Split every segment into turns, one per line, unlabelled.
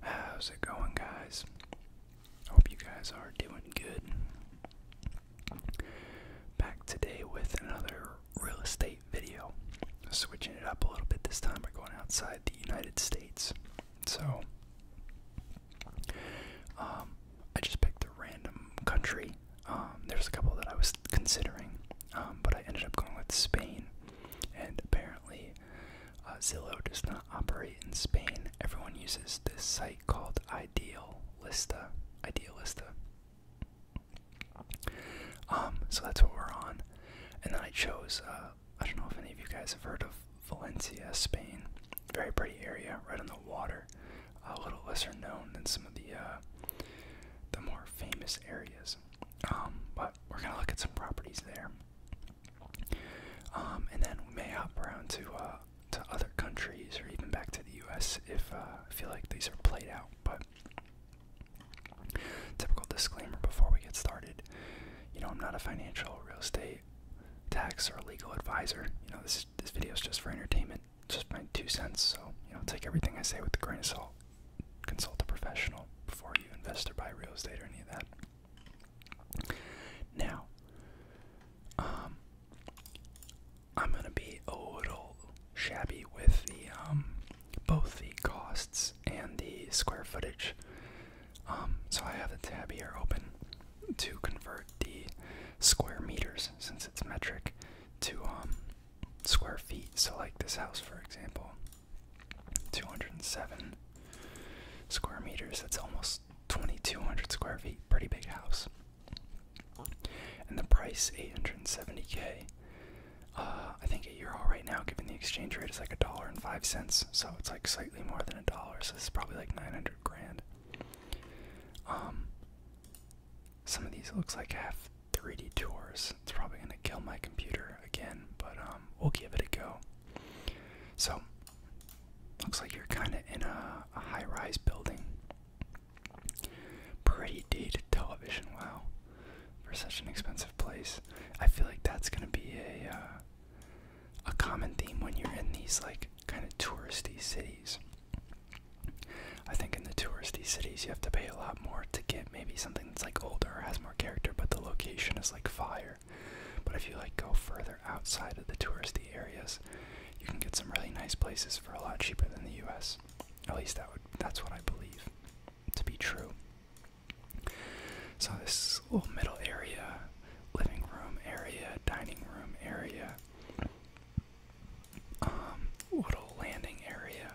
How's it going, guys? Hope you guys are doing good. Back today with another real estate video. Switching it up a little bit this time. We're going outside the United States. So, um, I just picked a random country. Um, there's a couple that I was considering, um, but I ended up going with Spain. And apparently, uh, Zillow does not operate in Spain. Everyone uses this site called Idealista. Idealista. Um, so that's what we're on. And then I chose, uh, I don't know if any of you guys have heard of Valencia, Spain. Very pretty area, right on the water. A little lesser known than some of the uh, the more famous areas. Um, but we're gonna look at some properties there. Um, and then we may hop around to uh, to other countries or even back to the U.S. if uh, I feel like these are played out. But typical disclaimer before we get started: you know, I'm not a financial, real estate, tax, or legal advisor. You know, this this video is just for entertainment, just my two cents. So you know, take everything I say with a grain of salt consult a professional before you invest or buy real estate or any of that. Now, um, I'm gonna be a little shabby with the um, both the costs and the square footage. Um, so I have the tab here open to convert the square meters since it's metric to square feet. So like this house, for example, 207 square meters. That's almost 2,200 square feet. Pretty big house. And the price 870 seventy k. Uh, I think a euro right now, given the exchange rate, is like a dollar and five cents. So it's like slightly more than a dollar. So it's probably like 900 grand. Um, some of these looks like half. 3D tours. It's probably gonna kill my computer again, but um, we'll give it a go. So, looks like you're kind of in a, high-rise building. Pretty dated television. Wow, for such an expensive place. I feel like that's gonna be a uh, a common theme when you're in these like kind of touristy cities. I think in the touristy cities you have to pay a lot more to get it may be something that's like older or has more character, but the location is like fire. But if you like go further outside of the touristy areas, you can get some really nice places for a lot cheaper than the US. At least that would that's what I believe to be true. So this little middle area, living room area, dining room area, um, little landing area,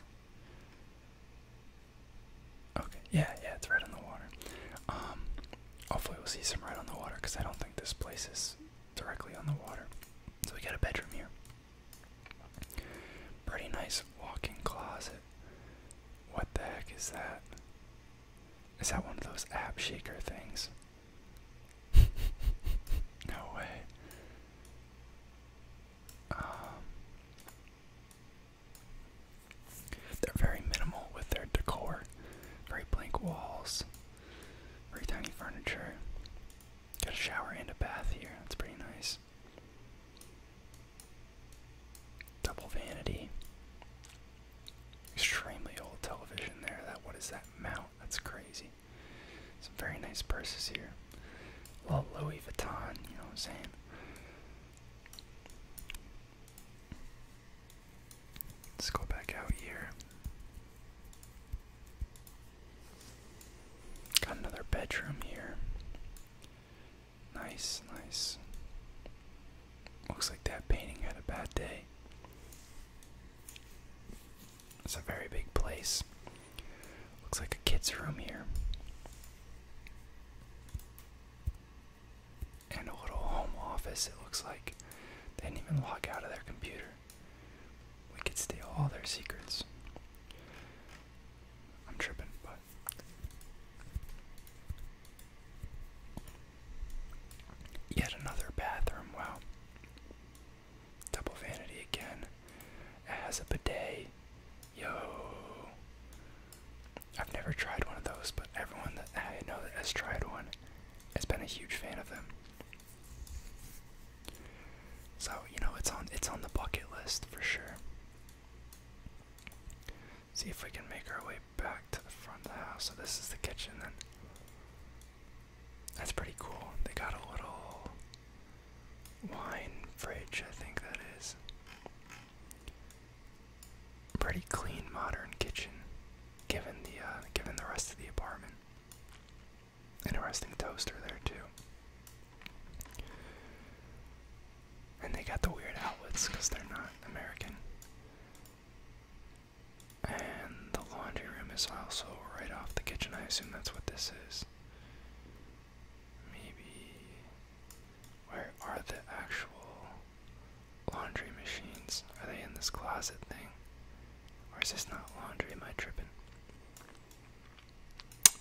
Okay, yeah, yeah, it's right on the water. Um, hopefully we'll see some right on the water because I don't think this place is directly on the water. So we got a bedroom here. Pretty nice walk-in closet. What the heck is that? Is that one of those app shaker things? no way. Um, they're very minimal with their decor, very blank walls, very tiny furniture. Got a shower and a bath here. That's pretty nice. Double vanity. Extremely old television there. That what is that mount? That's crazy. Some very nice purses here. A little Louis Vuitton, you know what I'm saying? Let's go back out here. Got another bedroom here. Nice, nice. Looks like that painting had a bad day. It's a very big place. Looks like a kid's room here. And a little home office, it looks like. They didn't even log out of their computer. We could steal all their secrets. I'm tripping, but. Yet another bathroom, wow. Double vanity again. It a bidet. Yo. I've never tried one of those, but everyone that I know that has tried one has been a huge fan of them. So, you know, it's on it's on the bucket list for sure. See if we can make our way back to the front of the house. So this is the kitchen then. That's pretty cool. They got a little wine fridge, I think that is. Pretty clean, modern kitchen, given the uh, given the rest of the apartment. Interesting toaster there too. And they got the weird outlets because they're not American. And the laundry room is also right off the kitchen. I assume that's what this is. Maybe. Where are the actual laundry machines? Are they in this closet thing? Or is this not laundry? Am I tripping?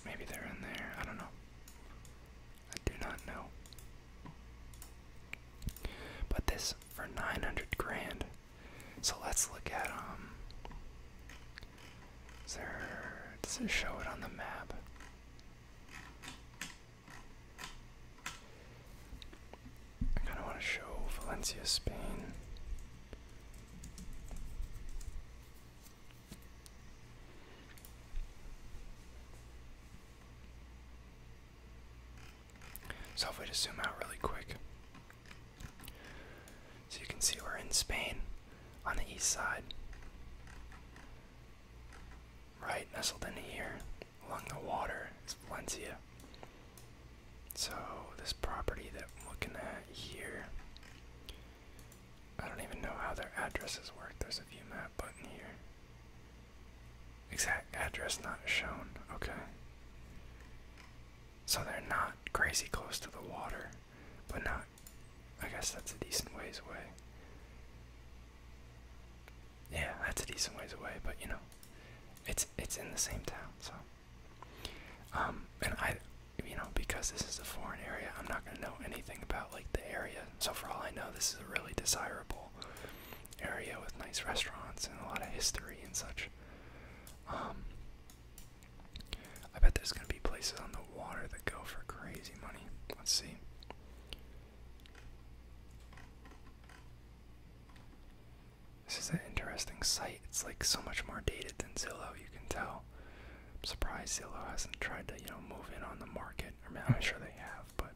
Maybe they're in there. I don't know. I do not know. But this for 900 grand. So let's look at um. Does it show it on the map? I kind of want to show Valencia, Spain. So if we just zoom out really quick. So you can see we're in Spain on the east side. Right nestled in here along the water is Valencia. So this property that I'm looking at here, I don't even know how their addresses work. There's a view map button here. Exact address not shown. Okay. So they're not crazy close to the water, but not. I guess that's a decent ways away. Yeah, that's a decent ways away, but you know, it's it's in the same town, so. Um, and I, you know, because this is a foreign area, I'm not gonna know anything about like the area. So for all I know, this is a really desirable area with nice restaurants and a lot of history and such. Um, I bet there's gonna be places on the water that go for crazy money. Let's see. This is an interesting site. It's like so much more dated than Zillow. You can tell. I'm surprised Zillow hasn't tried to you know move in on the market. I mean, I'm sure they have, but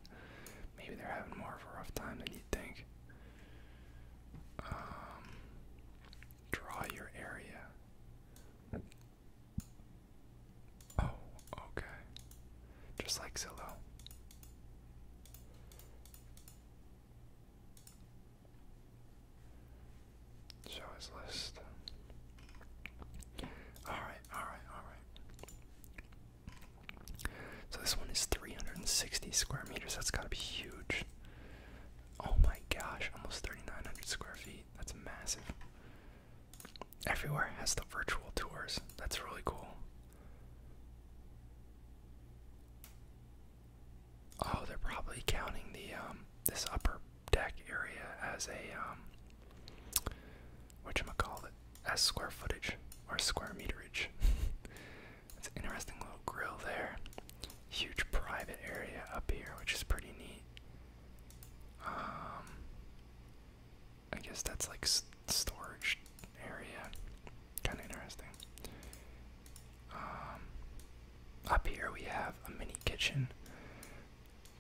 maybe they're having more of a rough time than you'd think. Um, draw your area. Oh, okay. Just like Zillow. Show his list. Alright, alright, alright. So this one is 360 square meters. That's got to be huge. Oh my gosh, almost 3,900 square feet. That's massive. Everywhere has the virtual tours. That's really cool. Oh, they're probably counting the um this upper deck area as a um what you call it as square footage or square meterage. it's interesting little grill there. Huge private area up here, which is pretty neat. Um, I guess that's like storage area. Kind of interesting. Um, up here we have a mini kitchen,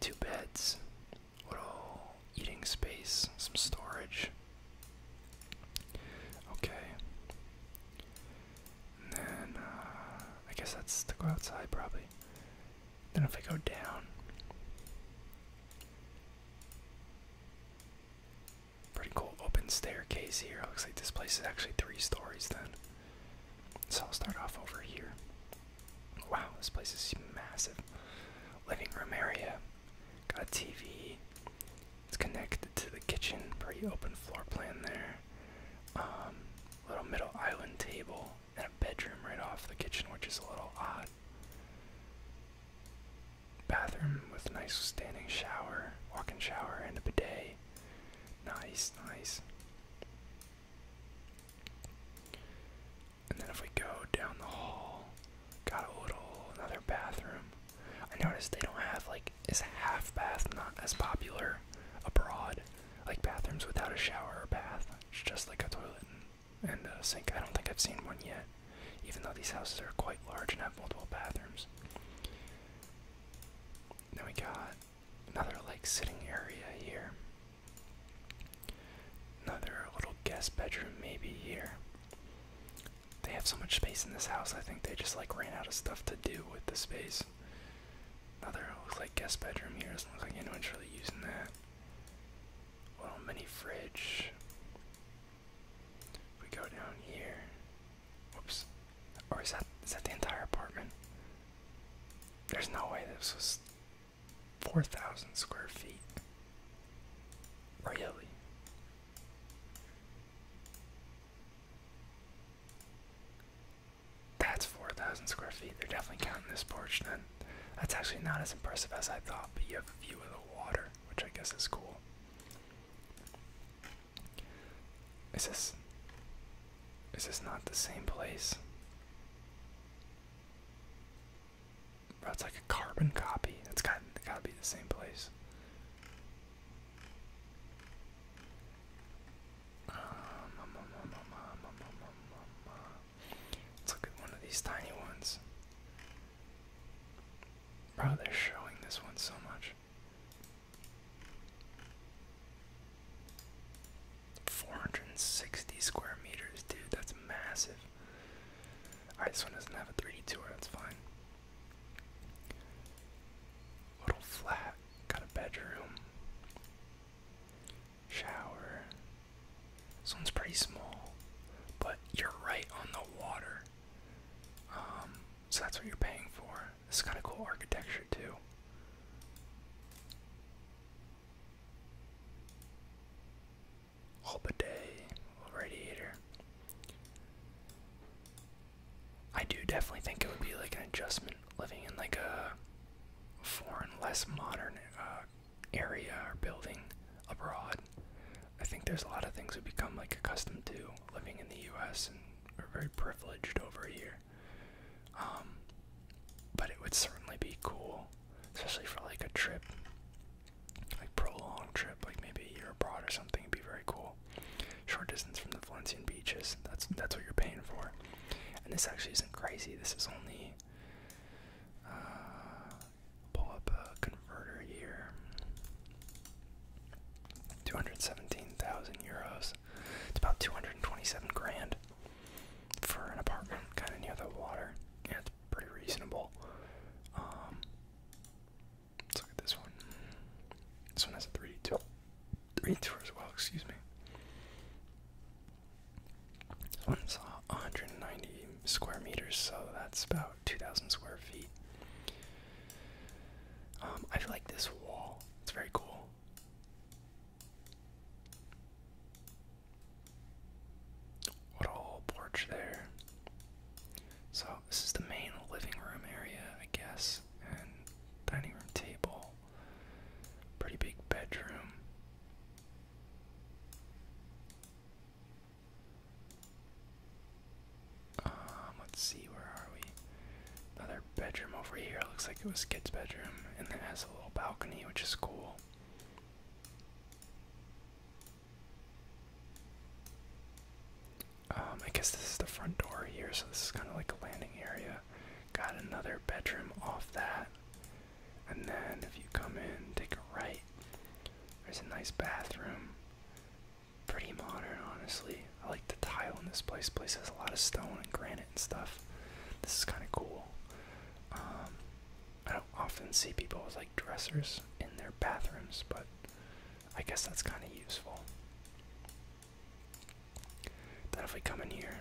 two beds, little eating space, some storage. Okay. then, uh, I guess that's to go outside probably. Then if I go down, pretty cool open staircase here. Looks like this place is actually three stories then. So I'll start off over here. Wow, this place is massive. Living room area. Got a TV. It's connected to the kitchen. Pretty open floor plan there. Um, little middle island table and a bedroom right off the kitchen, which is a little odd. Bathroom with nice standing shower, walk-in shower, and a bidet. Nice, nice. And then if we go down the hall, got a little another bathroom. I noticed they don't have like is half bath not as popular abroad, like bathrooms without a shower or bath. It's just like a toilet and, a sink. I don't think I've seen one yet, even though these houses are quite large and have multiple bathrooms. Then we got another like sitting area here. Another little guest bedroom, maybe here. They have so much space in this house, I think they just like ran out of stuff to do with the space. Another looks like guest bedroom here. Doesn't look like anyone's really using that. Little mini fridge. If we go down here. oops. Or is that is that the entire apartment? There's no way this was 4,000 square feet. Really? That's 4,000 square feet. They're definitely counting this porch then. That's actually not as impressive as I thought, but you have a view of the water, which I guess is cool. Is this. Is this not the same place? Bro, it's like a carbon copy. It's got gotta be the same place. Let's look at one of these tiny ones. Bro, showing this one so much. 460 square meters, dude, that's massive. Alright, this one doesn't have a 3D tour, that's fine. Little flat, got a bedroom, shower. This one's pretty small, but you're right on the water. Um, so that's what you're paying for. This is kind of cool architecture, too whole bidet, whole radiator. I do definitely think it would be like an adjustment living in like a foreign, less modern uh, area or building abroad. I think there's a lot of things we become like accustomed to living in the U.S. and we're very privileged over here. Um, but it would certainly be cool especially for like a trip, like prolonged trip, like maybe a year abroad or something, would be very cool. Short distance from the Valencian beaches. That's that's what you're paying for. And this actually isn't crazy. This is only. Uh, pull up a converter here. 217,000 euros. It's about 227 grand for an apartment kind of near the water pretty reasonable. Um, let's look at this one. This one has a three as well. Excuse me. This one's 190 square meters, so that's about 2,000 square feet. Um, I like this wall. It's very cool. What a whole porch there. So, this is the main living room area, I guess, and dining room table. Pretty big bedroom. Um, let's see, where are we? Another bedroom over here. Looks like it was kid's bedroom, and it has a little balcony, which is cool. Um, I guess this is the front door here, so this is kind of like a landing area. Got another bedroom off that. And then if you come in, take a right, there's a nice bathroom. Pretty modern, honestly. I like the tile in this place. This place has a lot of stone and granite and stuff. This is kind of cool. Um, I don't often see people with like dressers in their bathrooms, but I guess that's kind of useful. Then, if we come in here,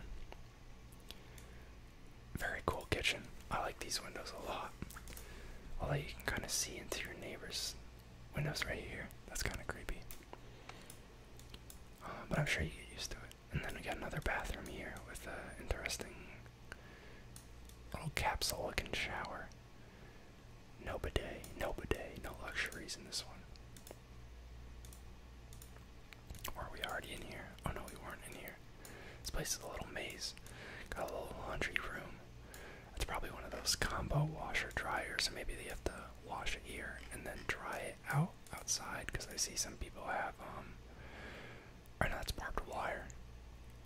very cool kitchen. I like these windows a lot. Although you can kind of see into your neighbor's windows right here. That's kind of creepy. Um, but I'm sure you get used to it. And then we got another bathroom here with an interesting little capsule looking shower. No bidet, no bidet, no luxuries in this one. Were we already in here? Oh no, we weren't in here. This place is a little maze. Got a little laundry room. That's probably one of those combo washer dryers, and maybe they have to wash it here and then dry it out outside because I see some people have um. Or no, that's barbed wire.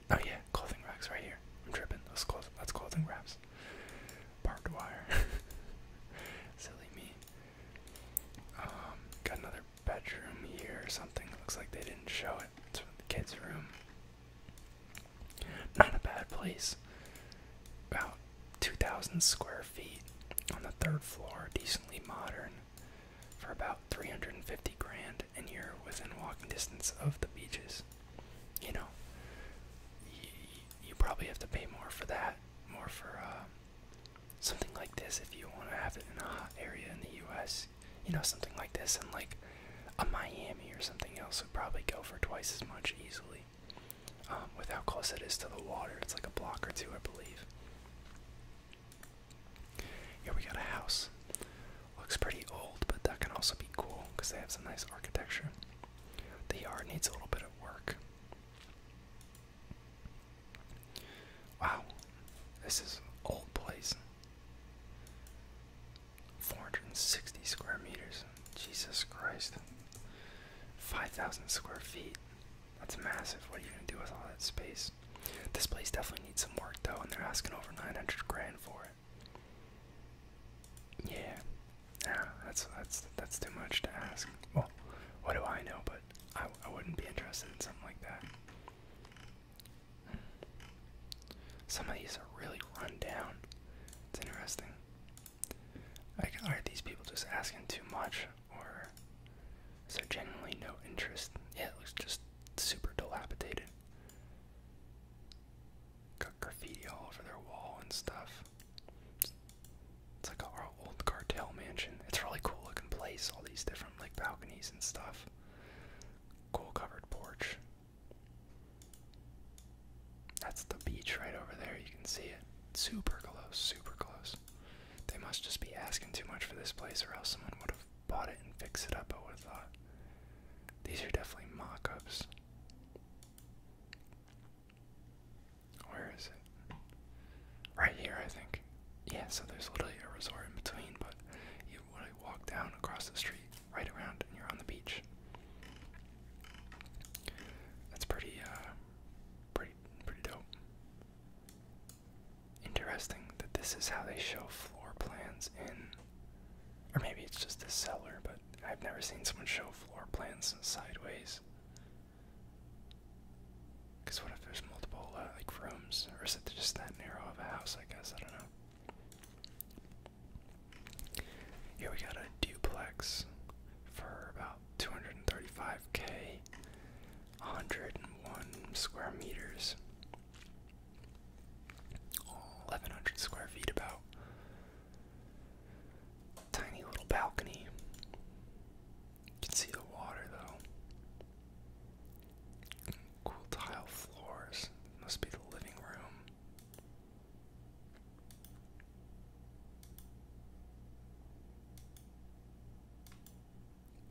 Oh yeah, clothing racks right here. I'm tripping. Those clothes. That's clothing racks. Barbed wire. Silly me. Um, got another bedroom here or something. Looks like they didn't show it. It's the kids' room. Not a bad place. About 2,000 square feet on the third floor, decently modern, for about 350 grand, and you're within walking distance of the beaches. You know, you, probably have to pay more for that, more for uh, something like this if you want to have it in a hot area in the U.S. You know, something like this, and like a Miami or something else would probably go for twice as much easily. Um, with how close it is to the water, it's like a block or two, I believe. Here we got a house. Looks pretty old, but that can also be cool because they have some nice architecture. The yard needs a little bit of work. Wow, this is old place. 460 square meters. Jesus Christ. 5,000 square feet. That's massive. What are you gonna do with all that space? This place definitely needs some work though, and they're asking over 900 grand for it. Yeah, yeah, that's that's that's too much to ask. Well, what do I know? But I I wouldn't be interested in something like that. Hmm. Some of these are really run down. It's interesting are these people just asking too much, or is there genuinely no interest? Yeah, it looks just super dilapidated. Got graffiti all over their wall and stuff. It's like our old cartel mansion. It's really cool looking place. All these different like balconies and stuff. Cool covered porch. That's the beach right over there. You can see it. Super close. Super close. They must just be asking too much for this place, or else someone would have bought it and fixed it up, I would have thought. These are definitely mock ups. Where is it? Right here, I think. Yeah, so there's literally a resort in between, but you literally walk down across the street, right around, and you're on the beach. That's pretty, uh, pretty pretty dope. Interesting that this is how they show floor plans in, or maybe it's just a cellar. but I've never seen someone show floor plans sideways. Because what if there's multiple uh, like rooms, or is it just that narrow of a house? I guess I don't know. Here we got a duplex for uh, 235k, 101 square meters, 1100 square feet, about tiny little balcony. You can see the water though. Cool tile floors. Must be the living room.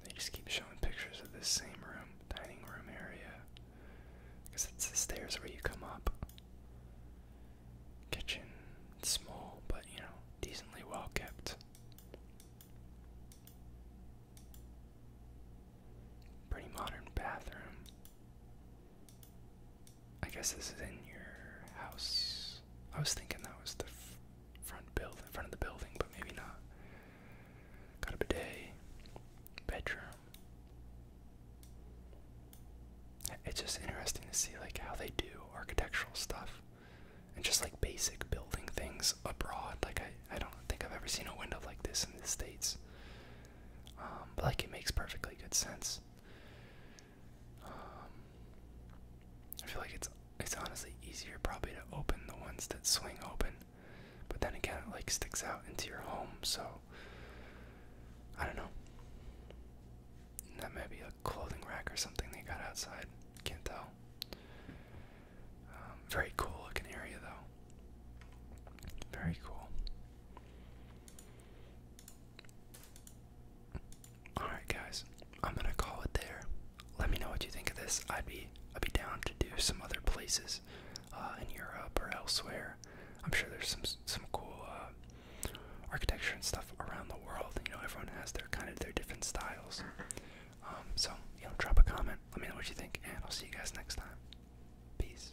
They just keep showing pictures of this same room, dining room area. Because it's the stairs where you come up. Kitchen, small, but you know, decently well kept. Pretty modern bathroom. I guess this is in your house. I was thinking that was the front build, in front of the building, but maybe not. Got a bidet, bedroom. It's just interesting to see like how they do architectural stuff and just like basic building things abroad. Like I, I don't think I've ever seen a window like this in the states. Um, but like it makes perfectly good sense. Um, I feel like it's it's honestly easier probably to open the ones that swing open, but then again it like sticks out into your home, so I don't know. That might be a clothing rack or something they got outside. Can't tell. Um, very cool looking area though. Very cool. Alright guys, I'm gonna call it there. Let me know what you think of this. I'd be I'd be down to do some other places uh, in Europe or elsewhere. I'm sure there's some some cool uh, architecture and stuff around the world. You know, everyone has their kind of their different styles. Um, so you know, drop a comment. Let me know what you think, and I'll see you guys next time. Peace.